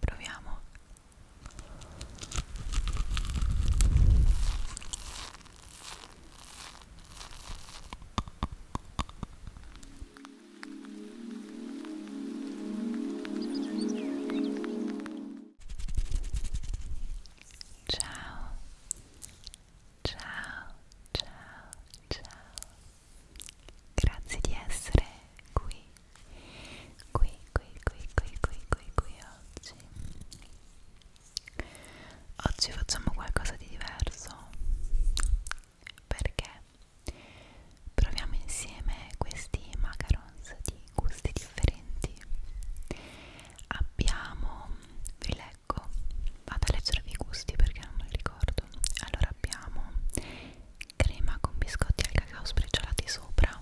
Proviamo. Ciao. Ciao, ciao, ciao. Grazie di essere qui qui, qui, qui, qui, qui, qui, qui oggi oggi facciamo qualcosa di diverso perché proviamo insieme questi macarons di gusti differenti abbiamo vi leggo vado a leggervi i gusti perché non me li ricordo allora abbiamo crema con biscotti al cacao spricciolati sopra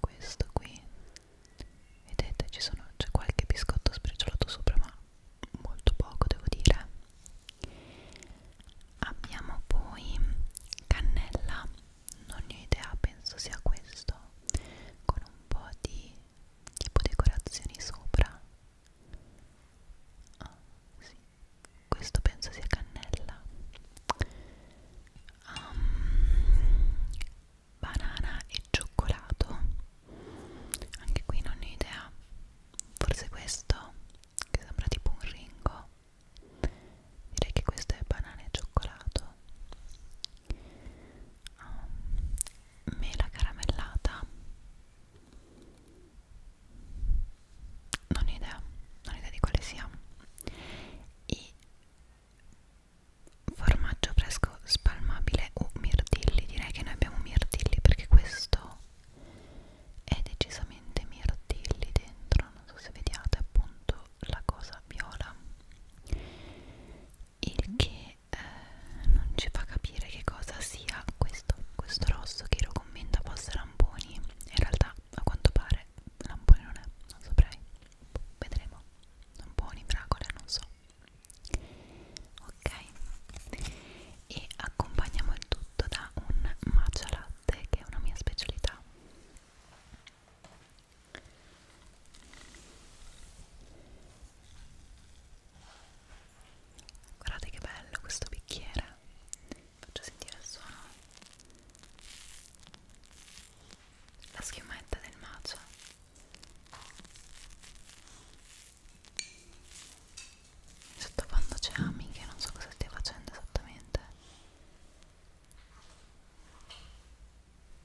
questo qui vedete ci sono c'è qualche biscotto spricciolato sopra ma molto poco devo dire abbiamo poi cannella non ne ho idea penso sia questo con un po' di tipo decorazioni sopra ah sì questo penso sia cannella um, banana e cioccolato anche qui non ho idea forse questo che sembra tipo un ringo direi che questo è banana e cioccolato um, mela caramellata non ho idea, non ho idea di quale sia e formaggio fresco spalmabile o mirtilli direi che noi abbiamo mirtilli perché questo è decisamente mirtilli dentro non so se vediate appunto la cosa viola il che eh, non ci fa capire che cosa sia questo questo rosso che lo commenta post ramponi in realtà a quanto pare lampone non è, non saprei vedremo lamponi, fragole, non so ok e accompagniamo il tutto da un matcha latte che è una mia specialità guardate che bello questo bicchiere faccio sentire il suono la schiumetta del macio sottofondo c'è Ami che non so cosa stia facendo esattamente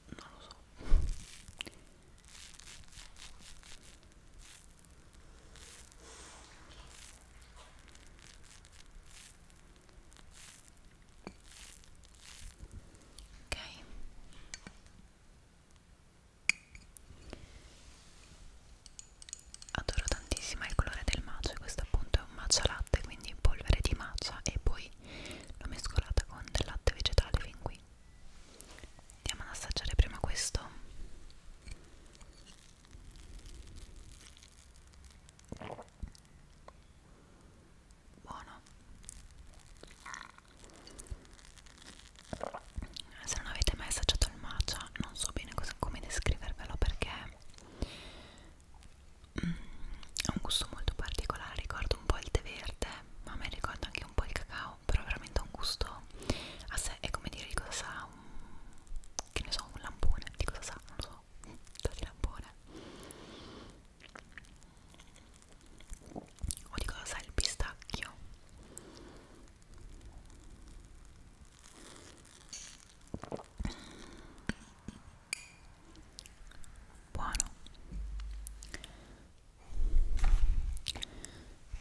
non lo so ok adoro tantissimo il colore del matcha e questo appunto è un matcha latte quindi polvere di matcha e poi l'ho mescolata con del latte vegetale fin qui andiamo ad assaggiare prima questo buono se non avete mai assaggiato il matcha non so bene cosa, come descrivervelo perché mm, ha un gusto molto particolare ricordo un po' il tè verde ma a me ricorda anche un po' il cacao però veramente ha un gusto a sé è come dire cosa sa un che ne so, un lampone, di cosa sa? Non lo so, di lampone o di cosa sa il pistacchio buono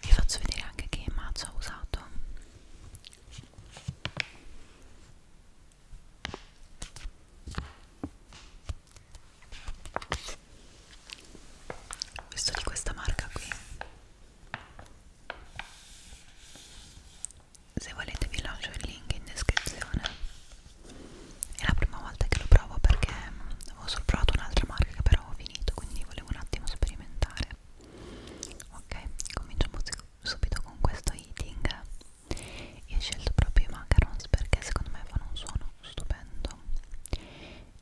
vi faccio vedere anche che mazzo ho usato questo di questa marca qui se volete vi lascio il link in descrizione è la prima volta che lo provo perché avevo solo provato un'altra marca che però ho finito quindi volevo un attimo sperimentare fare ok cominciamo subito con questo eating io ho scelto proprio i macarons perché secondo me fanno un suono stupendo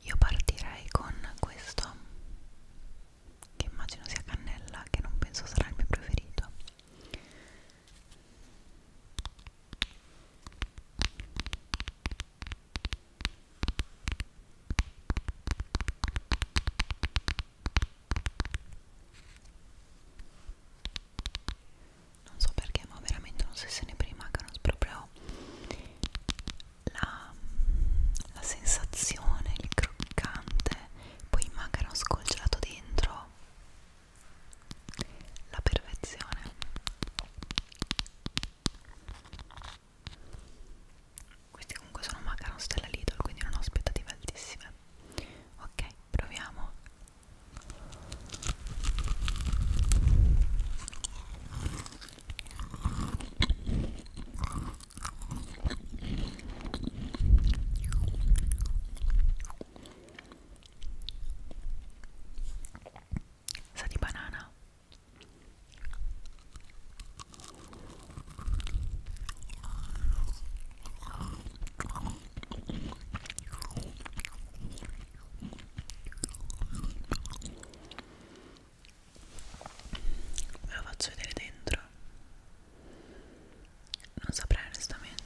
io partirei con questo che immagino sia cannella che non penso sarà il mio preferito non so perché ma veramente non so se ne prima che non proprio la, la sensazione, il croccante poi il macaron congelato dentro la perfezione questi comunque sono macaron stella Lidl, quindi non ho aspettative altissime. Ok, proviamo. Sa di banana ve lo faccio vedere dentro non saprei onestamente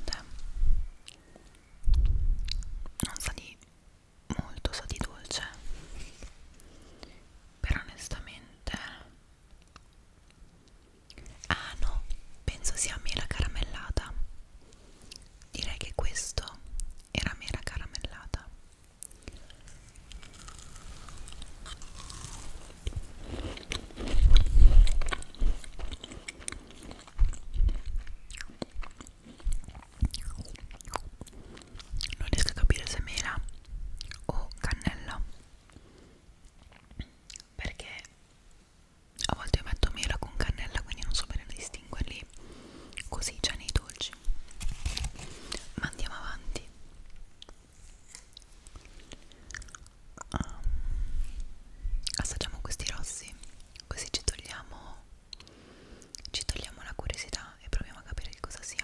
non sa di molto sa di dolce però onestamente ah no penso sia mela caramellata direi che questo era mela caramellata non riesco a capire se mela o cannella perché a volte io metto mela con cannella quindi non so bene distinguerli così già nei dolci ma andiamo avanti um, assaggiamo questi rossi così ci togliamo ci togliamo la curiosità e proviamo a capire che cosa sia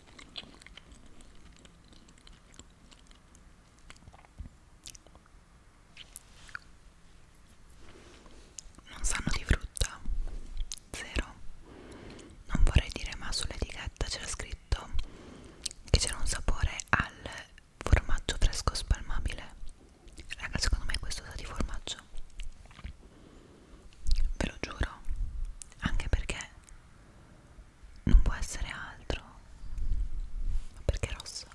Non sanno di frutta? Zero. Non vorrei dire, ma sull'etichetta c'era scritto che c'era un sapore al formaggio fresco spalmabile. Raga, secondo me questo sa di formaggio ve lo giuro, anche perché non può essere altro, ma perché è rosso.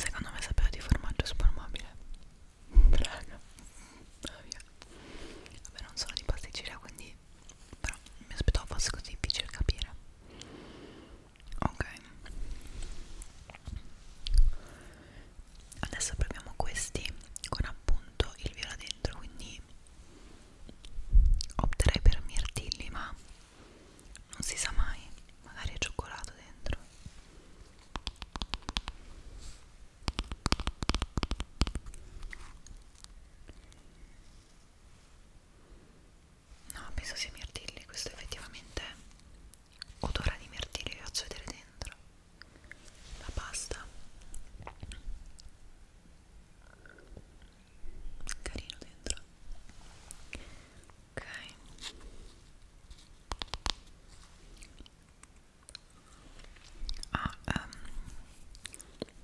Secondo me sapeva di formaggio spalmabile raga Vabbè, Vabbè non sono di pasticceria quindi però mi aspettavo fosse così difficile capire ok adesso proviamo questi con appunto il viola dentro quindi opterei per mirtilli ma non si sa mai magari è cioccolato dentro No, penso sia mirtilli, questo effettivamente odora di mirtilli, vi faccio vedere dentro la pasta. Carino dentro. Ok. Ah, um,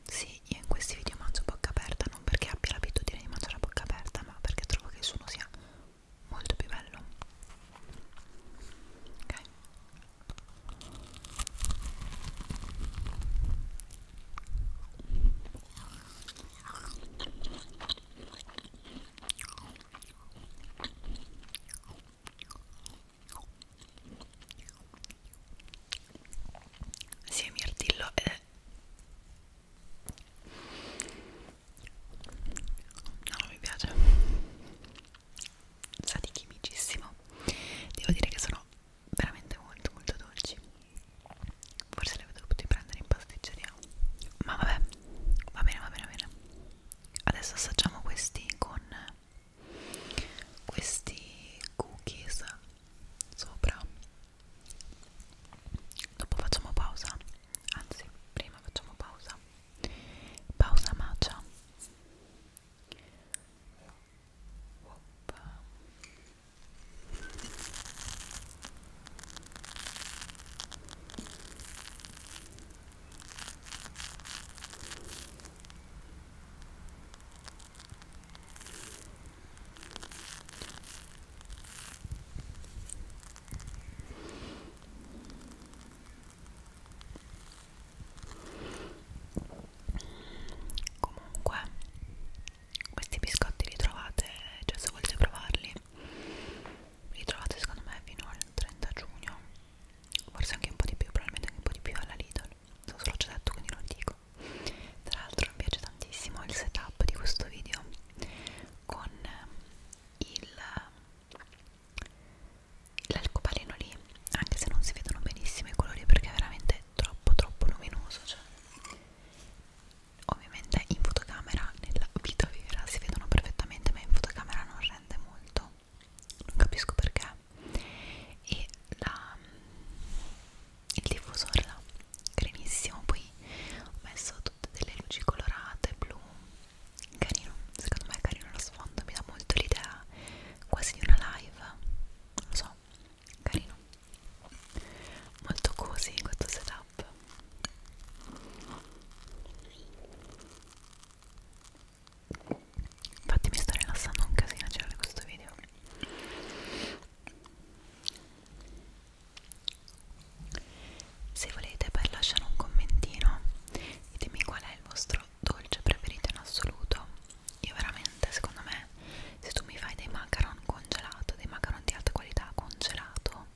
sì, io in questi video mangio a bocca aperta non perché abbia l'abitudine di mangiare a bocca aperta, ma perché trovo che il suono sia molto più bello. Ok. Sì, mirtillo ed eh. è... No, non mi piace. Sa di chimicissimo. Devo dire che sono veramente molto molto dolci. Forse le avevo dovuto prendere in pasticceria. Ma vabbè, va bene, va bene, va bene adesso assaggiamo questi con questi cookies sopra dopo facciamo pausa anzi prima facciamo pausa pausa matcha Oppa. Comunque, questi biscotti li trovate, cioè se volete provarli, li trovate secondo me fino al 30 giugno forse anche un po' di più, probabilmente anche un po' di più alla Lidl, non so se l'ho già detto quindi non dico tra l'altro mi piace tantissimo il setup di questo video con ehm, il l'alcobaleno lì anche se non si vedono benissimo i colori perché è veramente troppo troppo luminoso cioè ovviamente in fotocamera nella vita vera si vedono perfettamente ma in fotocamera non rende molto tutto non capisco perché e la, il diffusore là carinissimo poi ho messo tutte delle luci colorate blu carino secondo me è carino lo sfondo mi dà molto l'idea quasi di una live non lo so carino molto così questo setup Infatti mi sto rilassando un casino a girare questo video Se volete per lasciare un commentino ditemi qual è il vostro dolce preferito in assoluto Io veramente secondo me se tu mi fai dei macaron congelato, dei macaron di alta qualità congelato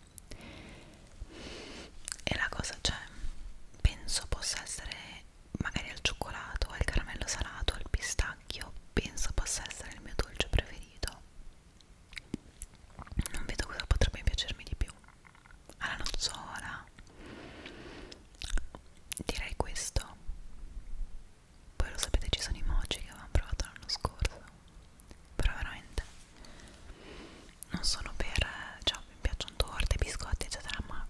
e la cosa cioè penso possa essere magari al cioccolato al caramello salato al pistacchio penso possa essere il mio dolce preferito non vedo cosa potrebbe piacermi di più alla nozzola direi questo poi lo sapete ci sono i mochi che avevamo provato l'anno scorso però veramente non sono per cioè mi piacciono torte, biscotti eccetera ma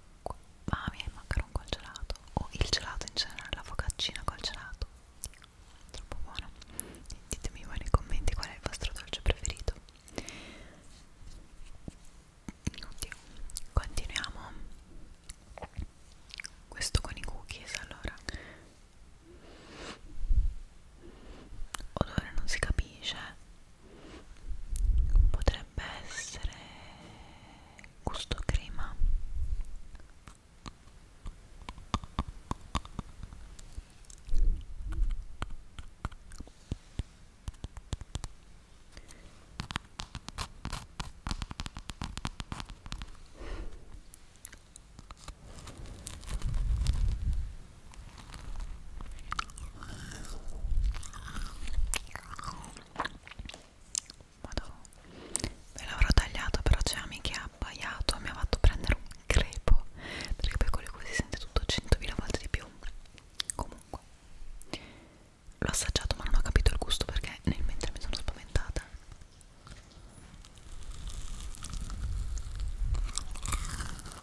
ah, mi è il macaron col gelato o il gelato in generale, la focaccina col gelato troppo buono ditemi voi nei commenti qual è il vostro dolce preferito Oddio. continuiamo questo con i cookies allora odore non si capisce potrebbe essere gusto crema Madonna. Me l'avrò tagliato però c'è Ami che ha abbaiato mi ha fatto prendere un crepo perché per quello così si sente tutto 100.000 volte di più comunque l'ho assaggiato ma non ho capito il gusto perché nel mentre mi sono spaventata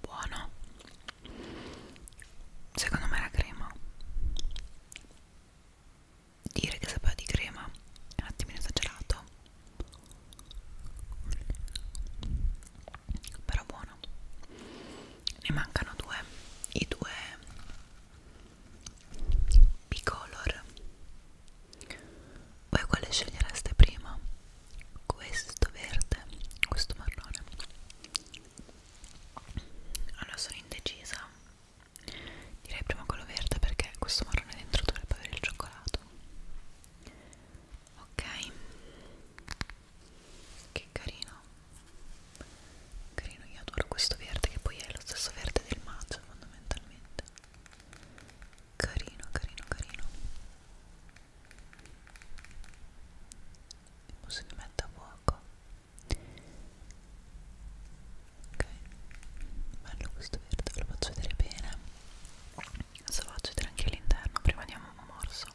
buono secondo me la crema dire che sapeva di crema è un attimino esagerato però buono ne mancano due i due bicolor voi quale scegliereste prima? Questo verde, questo marrone. Allora sono indecisa. Direi prima quello verde perché questo marrone dentro dovrebbe avere il cioccolato. Ok. Che carino. Carino, io adoro questo verde che poi è lo stesso verde del matcha fondamentalmente. Carino, carino, carino il posizionamento a fuoco ok bello questo verde lo faccio vedere bene adesso faccio vedere anche l'interno prima diamo un morso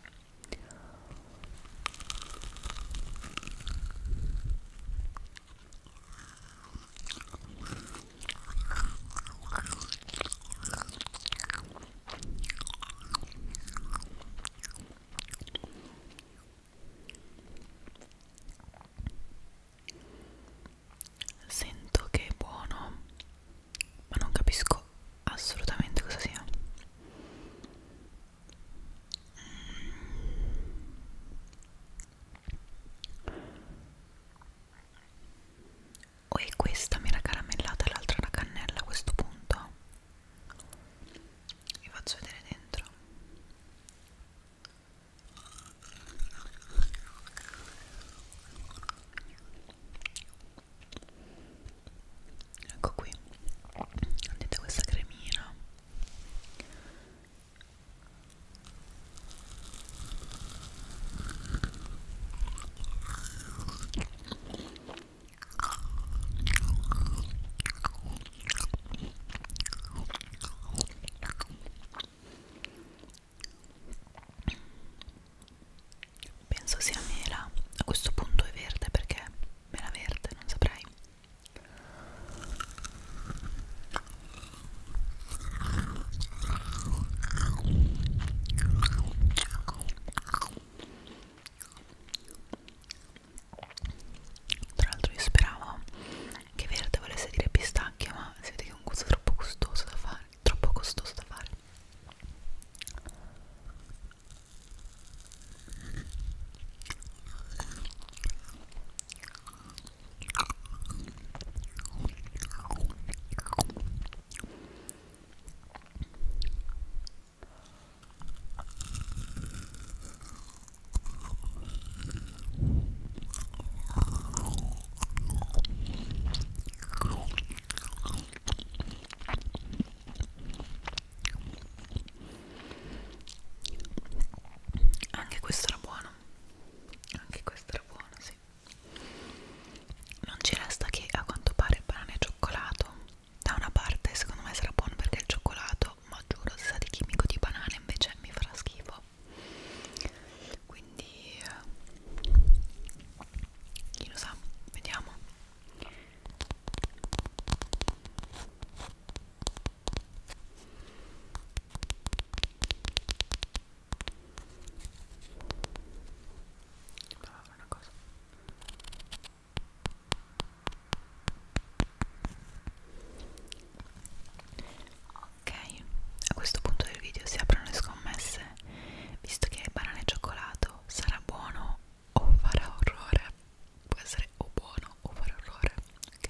Sento che è buono, ma non capisco assolutamente cosa sia o è questa mela caramellata e l'altra la cannella a questo punto vi faccio vedere dentro ecco qui vedete questa cremina Penso sia mela, a questo punto è verde perché mela verde, non saprei. Tra l'altro io speravo che verde volesse dire pistacchio, ma si vede che è un gusto troppo costoso da fare, troppo costoso da fare. Anche questo era buono. Anche questo era buono, sì non ci resta che a quanto pare banane e cioccolato da una parte secondo me sarà buono perché il cioccolato ma giuro se sa di chimico di banana invece mi farà schifo quindi eh, chi lo sa vediamo ma una cosa Ok, a questo punto del video si aprono le scommesse Visto che banana e cioccolato sarà buono o farà orrore Può essere o buono o farà orrore Ok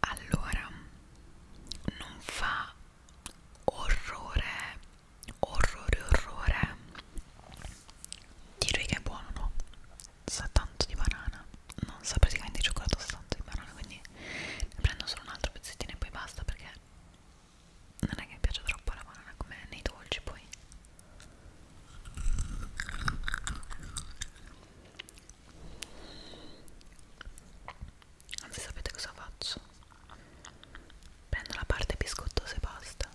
allora non fa orrore orrore orrore direi che è buono no sa tanto di banana non sa praticamente di cioccolato sa tanto di banana quindi ne prendo solo un altro pezzettino e poi basta perché non è che mi piace troppo la banana come nei dolci poi Anzi sapete cosa faccio? Prendo la parte biscottosa e basta.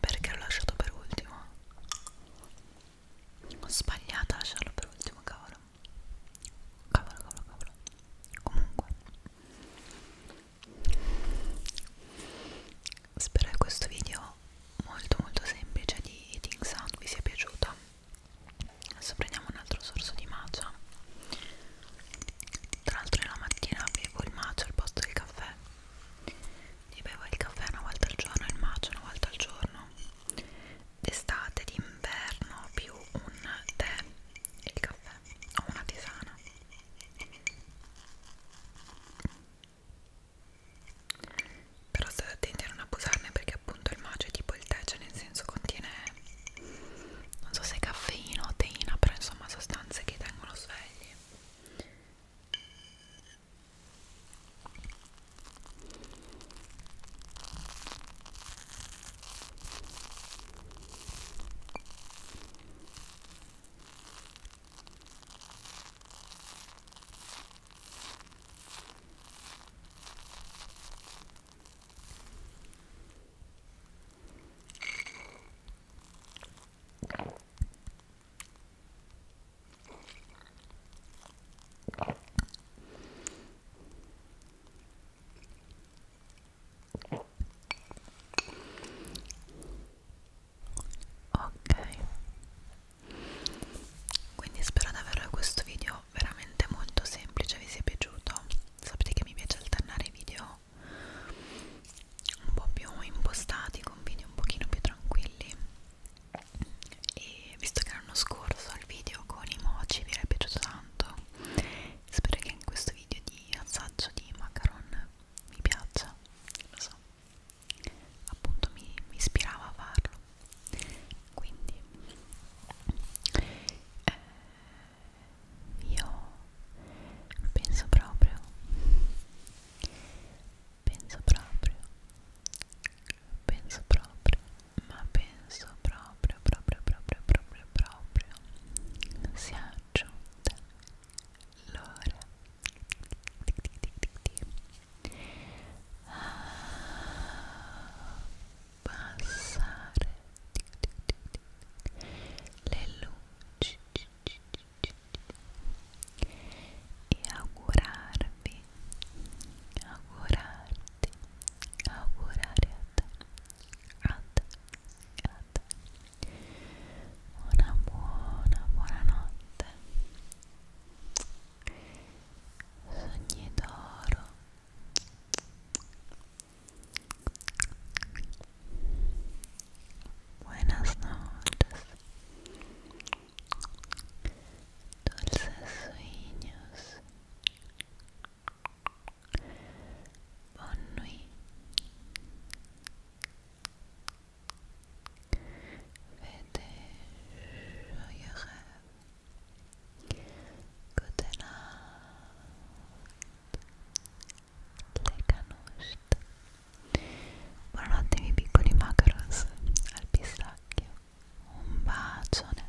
Perché l'ho lasciato per ultimo? Ho sbagliato a lasciarlo per ultimo, cavolo. Cavolo, cavolo, cavolo. Comunque. Spero che questo video molto molto semplice di eating sound vi sia piaciuto adesso prendiamo un altro sorso di matcha tra l'altro la mattina bevo il matcha al posto del caffè io bevo il caffè una volta al giorno e il matcha una volta al giorno d'estate, d'inverno più un tè e il caffè o una tisana però state attenti a non abusarne perché perché appunto il maggio è tipo il tè, cioè nel senso contiene non so se caffeina o teina, però insomma sostanze che tengono svegli. Ok, quindi spero davvero che questo video video veramente molto semplice vi sia piaciuto sapete che mi piace alternare video un po' più impostati con video un pochino più tranquilli e visto che l'anno scorso il video con i mochi vi era piaciuto tanto spero che anche questo video di assaggio di macaron mi piaccia lo so appunto mi, mi ispirava a farlo quindi eh, io penso proprio penso proprio penso proprio ma penso proprio proprio proprio proprio proprio si è aggiunta l'ora ah, abbassare le luci e augurarvi, augurarti, augurare a te, a te, a te una buona, buona notte sogni d'oro Buenas noches. Dulces sueños. Bonne nuit. Vete, yo, Good night. Le canuste. Buonanotte miei piccoli macaros al pistacchio. Un bacione.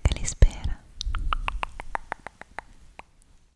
Che li spera.